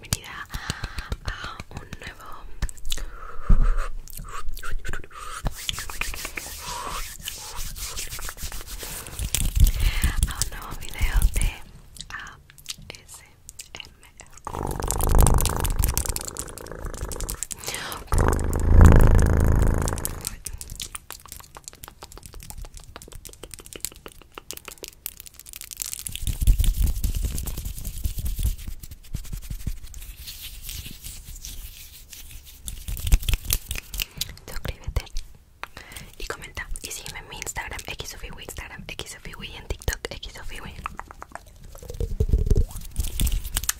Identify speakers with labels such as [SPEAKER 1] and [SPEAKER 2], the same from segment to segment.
[SPEAKER 1] bienvenida a un nuevo a un nuevo video de ASMR Suscríbete y comenta y sígueme en mi Instagram xofiwi Instagram y en TikTok xsofiwi.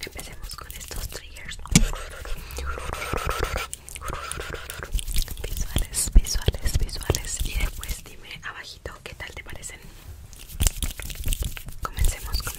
[SPEAKER 1] Empecemos con estos triggers visuales, visuales, visuales y después dime abajito qué tal te parecen. Comencemos, comencemos.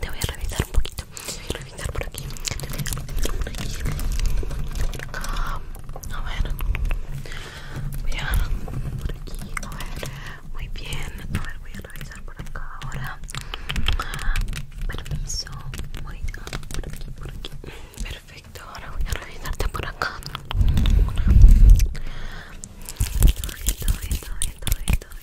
[SPEAKER 2] Te voy a revisar un poquito. voy a revisar por aquí. por aquí. A ver. Voy a por aquí. A ver. Muy bien. A ver, voy a revisar por acá ahora. Permiso. Voy a por aquí, por aquí. Perfecto perfecto, ahora voy a revisarte por acá bien, bien, voy a un poquito la así perfecto,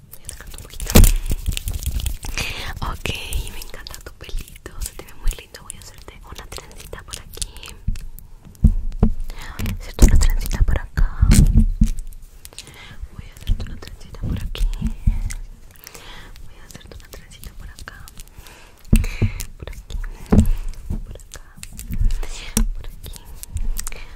[SPEAKER 1] voy a sacarte un poquito ok me encanta tu pelito se te ve muy lindo voy a hacerte una trencita por aquí voy a hacerte una trencita por acá voy a hacerte una trencita por aquí voy a hacerte una trencita por acá por aquí por acá
[SPEAKER 3] por aquí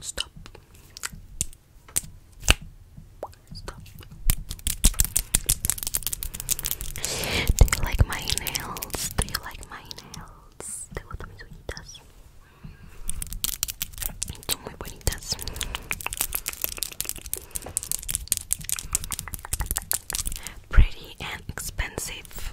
[SPEAKER 3] Stop. Stop. Do you like my nails? Do you like my nails? Te gustan mis uñitas. Son muy bonitas. Pretty and expensive.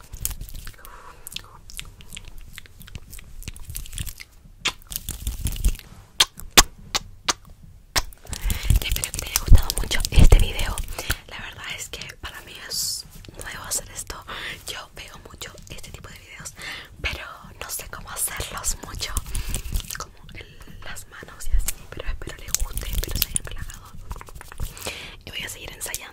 [SPEAKER 1] Espero que te haya gustado mucho este video. La verdad es que para mí es nuevo hacer esto. Yo veo mucho este tipo de videos, pero no sé cómo hacerlos mucho, como en las manos y así. Pero espero les guste, espero se hayan
[SPEAKER 4] relajado. Y voy a seguir ensayando